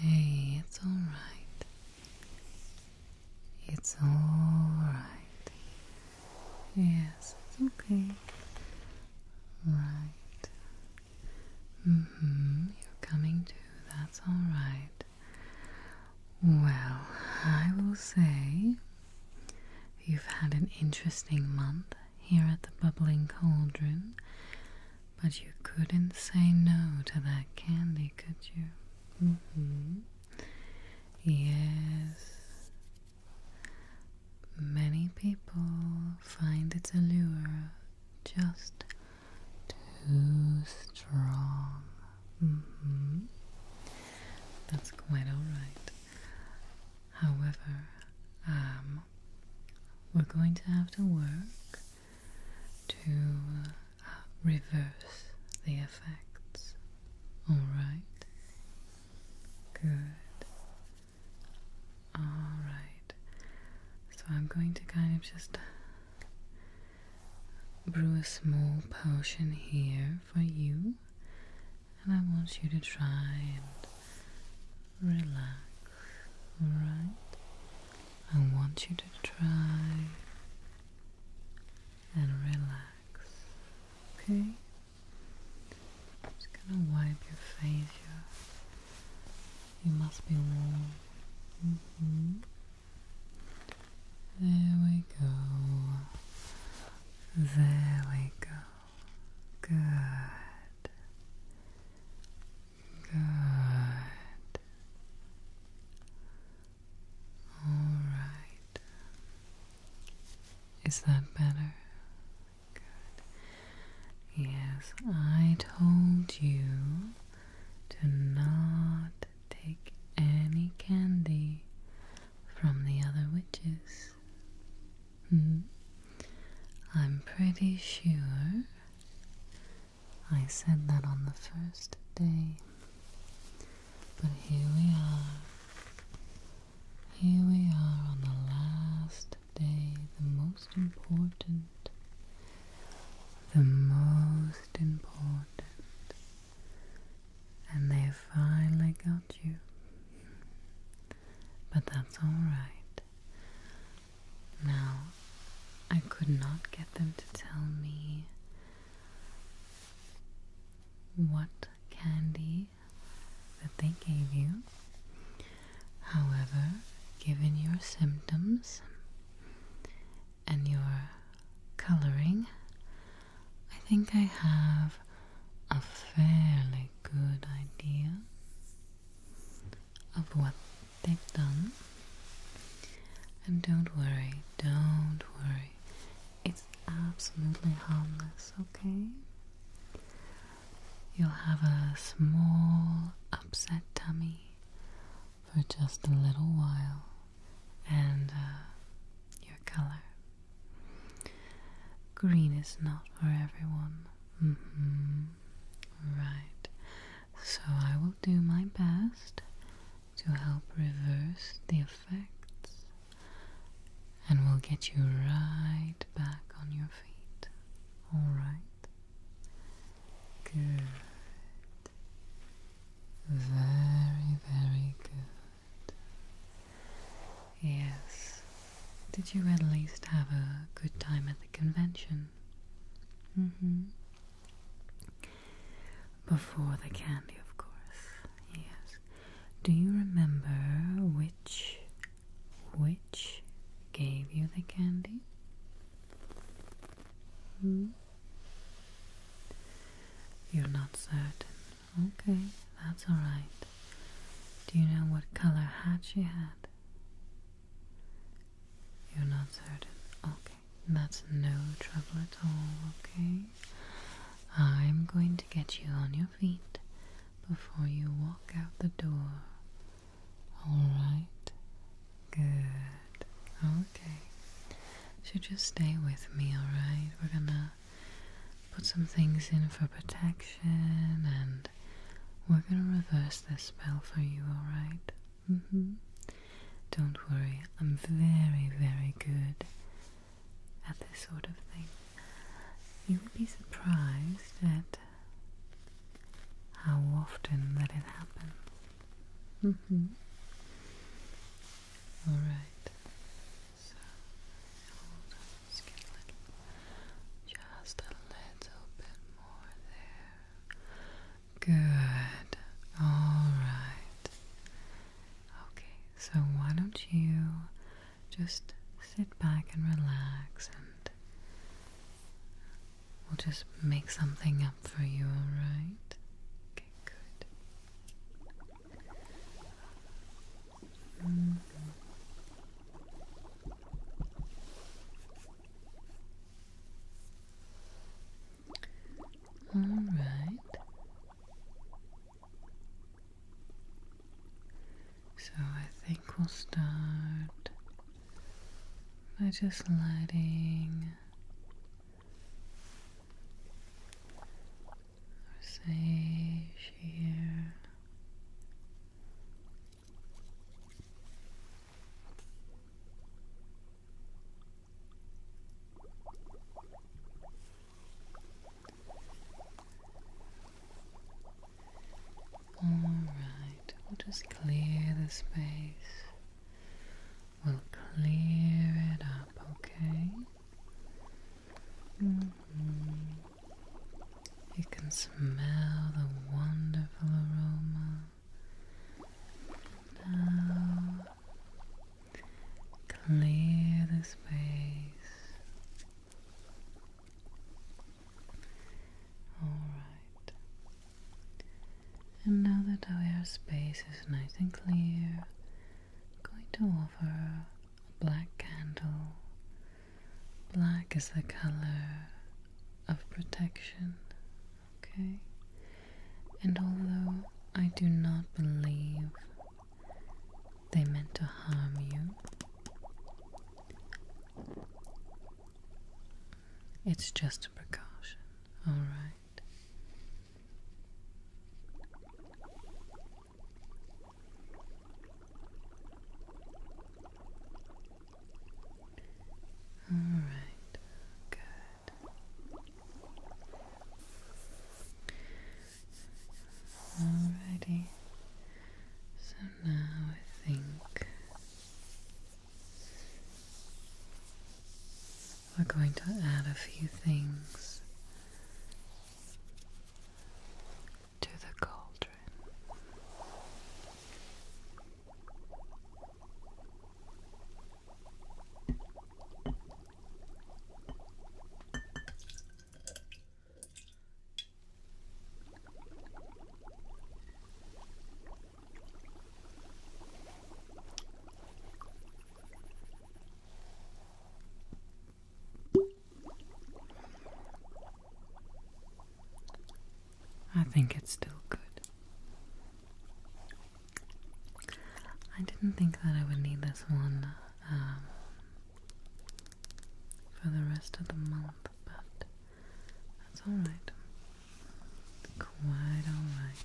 Hey, it's all right. It's all right. Yes, it's okay. Right. Mhm. You're coming to. That's all right. Well, I will say you've had an interesting month here at the Bubbling Cauldron, but you couldn't say no to that candy, could you? Mm-hmm. Yes. Many people find its allure just too strong. Mm-hmm. That's quite alright. However, um, we're going to have to work to uh, reverse the effects. Alright? Good. Alright. So I'm going to kind of just brew a small potion here for you and I want you to try and relax, alright? I want you to try and relax, okay? just gonna wipe your face here. You must be warm. Mm-hmm. There we go. There we go. Good. Good. All right. Is that better? Good. Yes, I told you to not take any candy from the other witches. Hmm. I'm pretty sure I said that on the first day. But here we are. Here we are on the last day, the most important, the most important and they have finally got you. But that's alright. Now, I could not get them to tell me what candy that they gave you. However, given your symptoms and your coloring, I think I have a fairly good idea of what they've done. And don't worry, don't worry. It's absolutely harmless, okay? You'll have a small upset tummy for just a little while and uh, your color. Green is not for everyone. Mm-hmm. Right. So I will do my best to help reverse the effects and we'll get you right back on your feet. Alright? Good. Very, very good. Yes. Did you at least have a good time at the convention? Mm-hmm. Before the candy, of course. Yes. Do you remember which which gave you the candy? Hmm? You're not certain. Okay, that's alright. Do you know what color hat she had? You're not certain. Okay, that's no trouble at all, okay? I'm going to get you on your feet before you walk out the door. Alright? Good. Okay. So just stay with me, alright? We're gonna put some things in for protection, and we're gonna reverse this spell for you, alright? Mm hmm. Don't worry, I'm very, very good at this sort of thing. you would be surprised at how often that it happens. Mm hmm. Alright. So Good. All right. Okay. So why don't you just sit back and relax, and we'll just make something up for you. All right. Okay. Good. All right. So I think we'll start by just letting say sheer Alright, we'll just clear the space. We'll clear it up, okay? You can smell the wonderful aroma. Now, clear the space. Alright. And now that our space is nice and clear, I'm going to offer a black candle. Black is the color of protection, okay? And although I do not believe they meant to harm you, it's just a precaution, alright? All right, good. Alrighty. So now I think we're going to add a few things to the cauldron. I think it's still good. I didn't think that I would need this one um, for the rest of the month, but that's alright. Quite alright.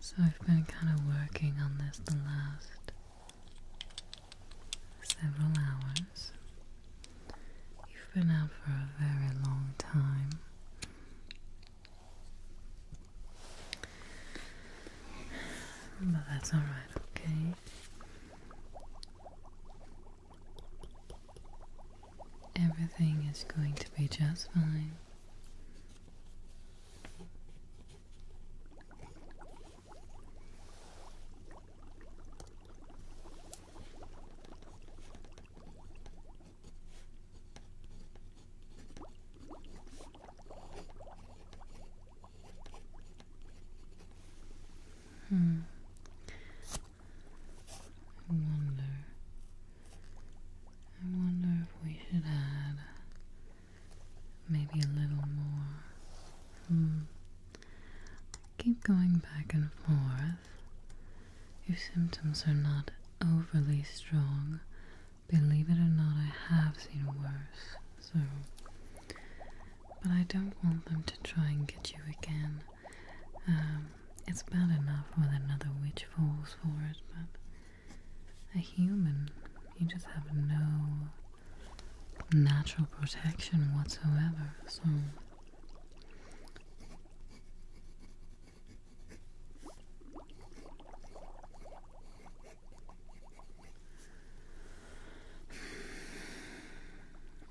So I've been kind of working on this the last several hours. You've been out for a very long time. But that's alright, okay? Everything is going to be just fine. Hmm. I wonder. I wonder if we should add maybe a little more. Hmm. Keep going back and forth. Your symptoms are not overly strong, believe it or not, I have seen worse. So, but I don't want them to try and get you again. Um, it's bad enough when another witch falls for it, but a human, you just have no natural protection whatsoever, so.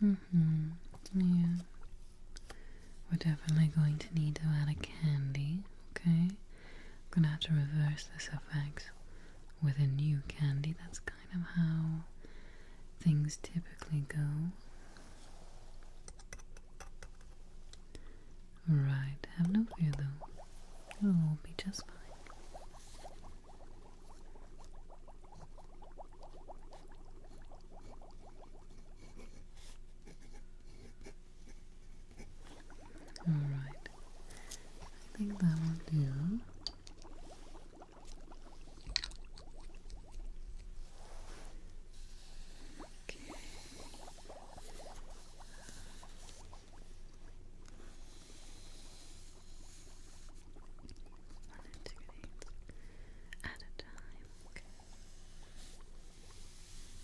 Mm-hmm. Yeah. We're definitely going to need to add a candy, okay? I'm gonna have to reverse this effect with a new candy. That's kind of how things typically go. Right, have no fear though. It'll all be just fine. Alright, I think that will do. Okay. One and at a time. Okay.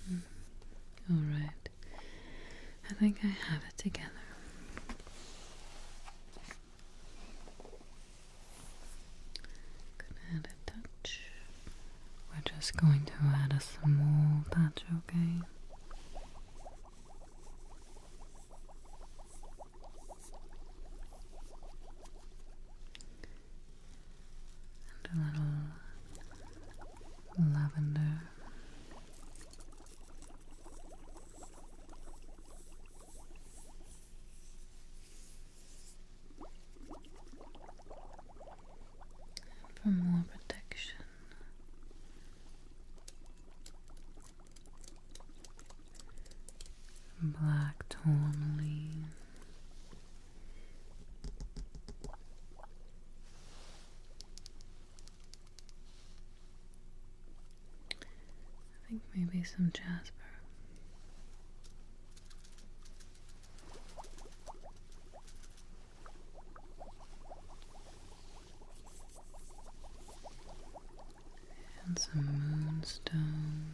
Hmm. All right. I think I have it together. Gonna add a touch. We're just going to add a small touch, okay? and a little lavender. for more protection. Black torn leaves. I think maybe some jasper. And some moonstone.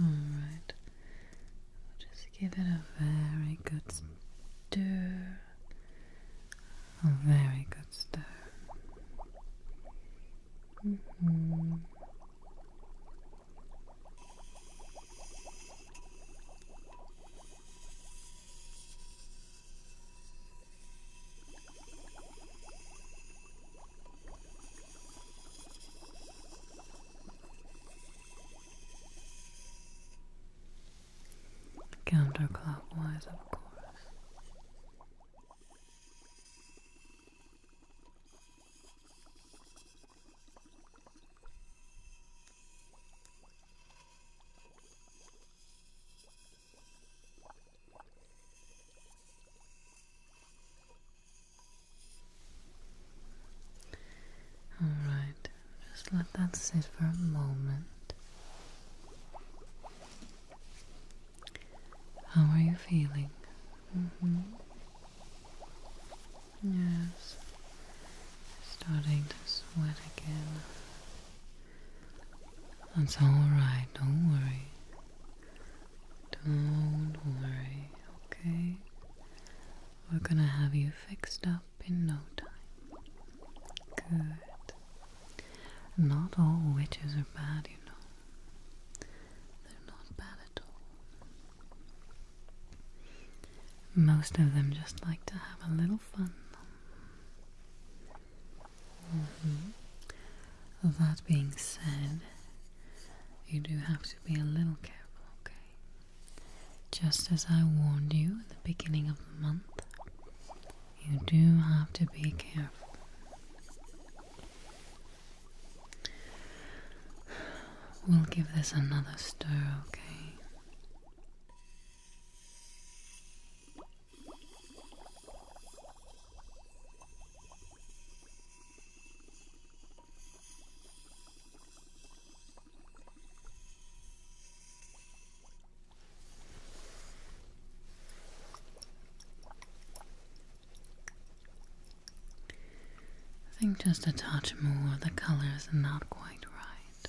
Alright, just give it a very good stir, a very good stir. -hmm. Counterclockwise, of course. All right, just let that sit for a moment. How are you feeling? Mm -hmm. Yes, starting to sweat again. That's alright, don't worry. Don't worry, okay? We're gonna have you fixed up in no time. Good. Not all witches are bad, you know. They're not bad at all. Most of them just like to have a little fun. Mm-hmm. that being said, you do have to be a little careful, okay? Just as I warned you at the beginning of the month, you do have to be careful. We'll give this another stir, okay? I think just a touch more, the colors are not quite right.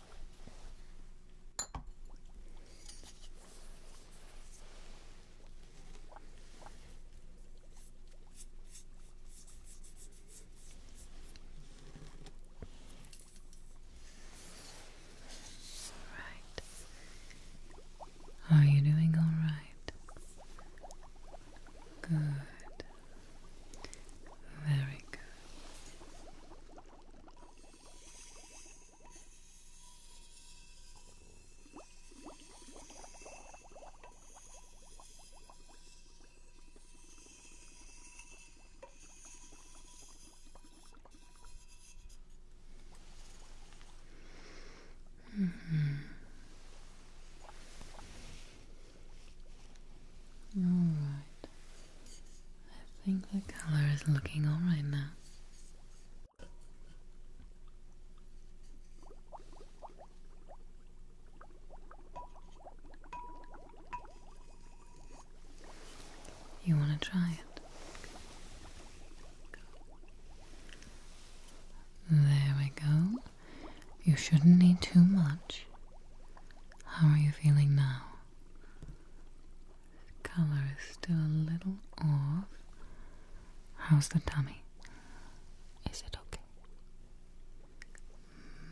Are you doing all right? Good. Very good. Mm -hmm. All right. I think the color is looking alright now. You want to try it? There we go. You shouldn't need too much. How are you feeling now? Color is still a little off. How's the tummy? Is it okay?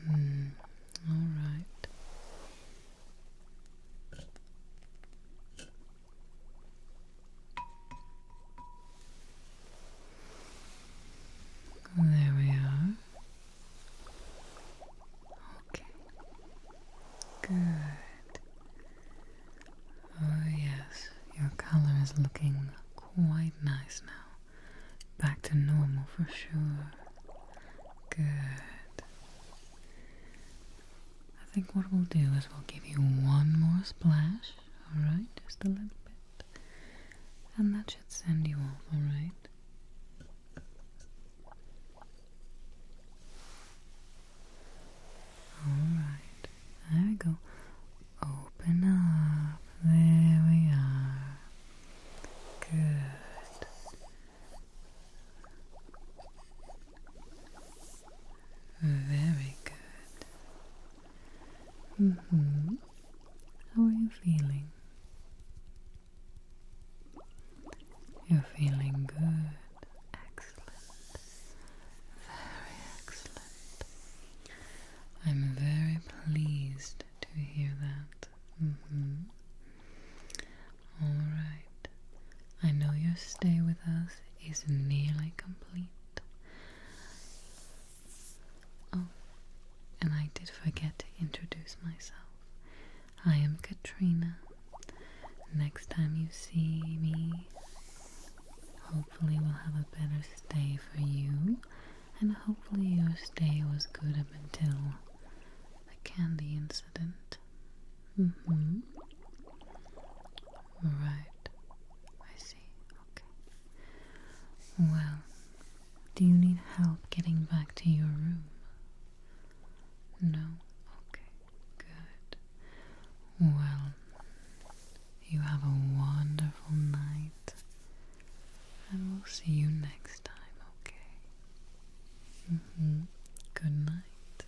Hmm, all right. There we are. Okay. Good. Oh, yes, your color is looking quite nice now. Back to normal for sure. Good. I think what we'll do is we'll give you one more splash, alright? Just a little bit. And that should send you off, alright? Alright, there we go. Open up. There we are. Good. Very good. Mm hmm. How are you feeling? You're feeling good. Excellent. Very excellent. I'm very pleased to hear that. Mm-hmm. All right. I know your stay with us is nearly complete. Oh, and I did forget to introduce myself. I am Katrina. Next time you see me, hopefully, we'll have a better stay for you, and hopefully, your stay was good up until the candy incident. Mm hmm. Right. I see. Okay. Well, do you need help getting back to your room? No? Okay, good. Well, you have a wonderful night, and we'll see you next time, okay? Mm -hmm. Good night.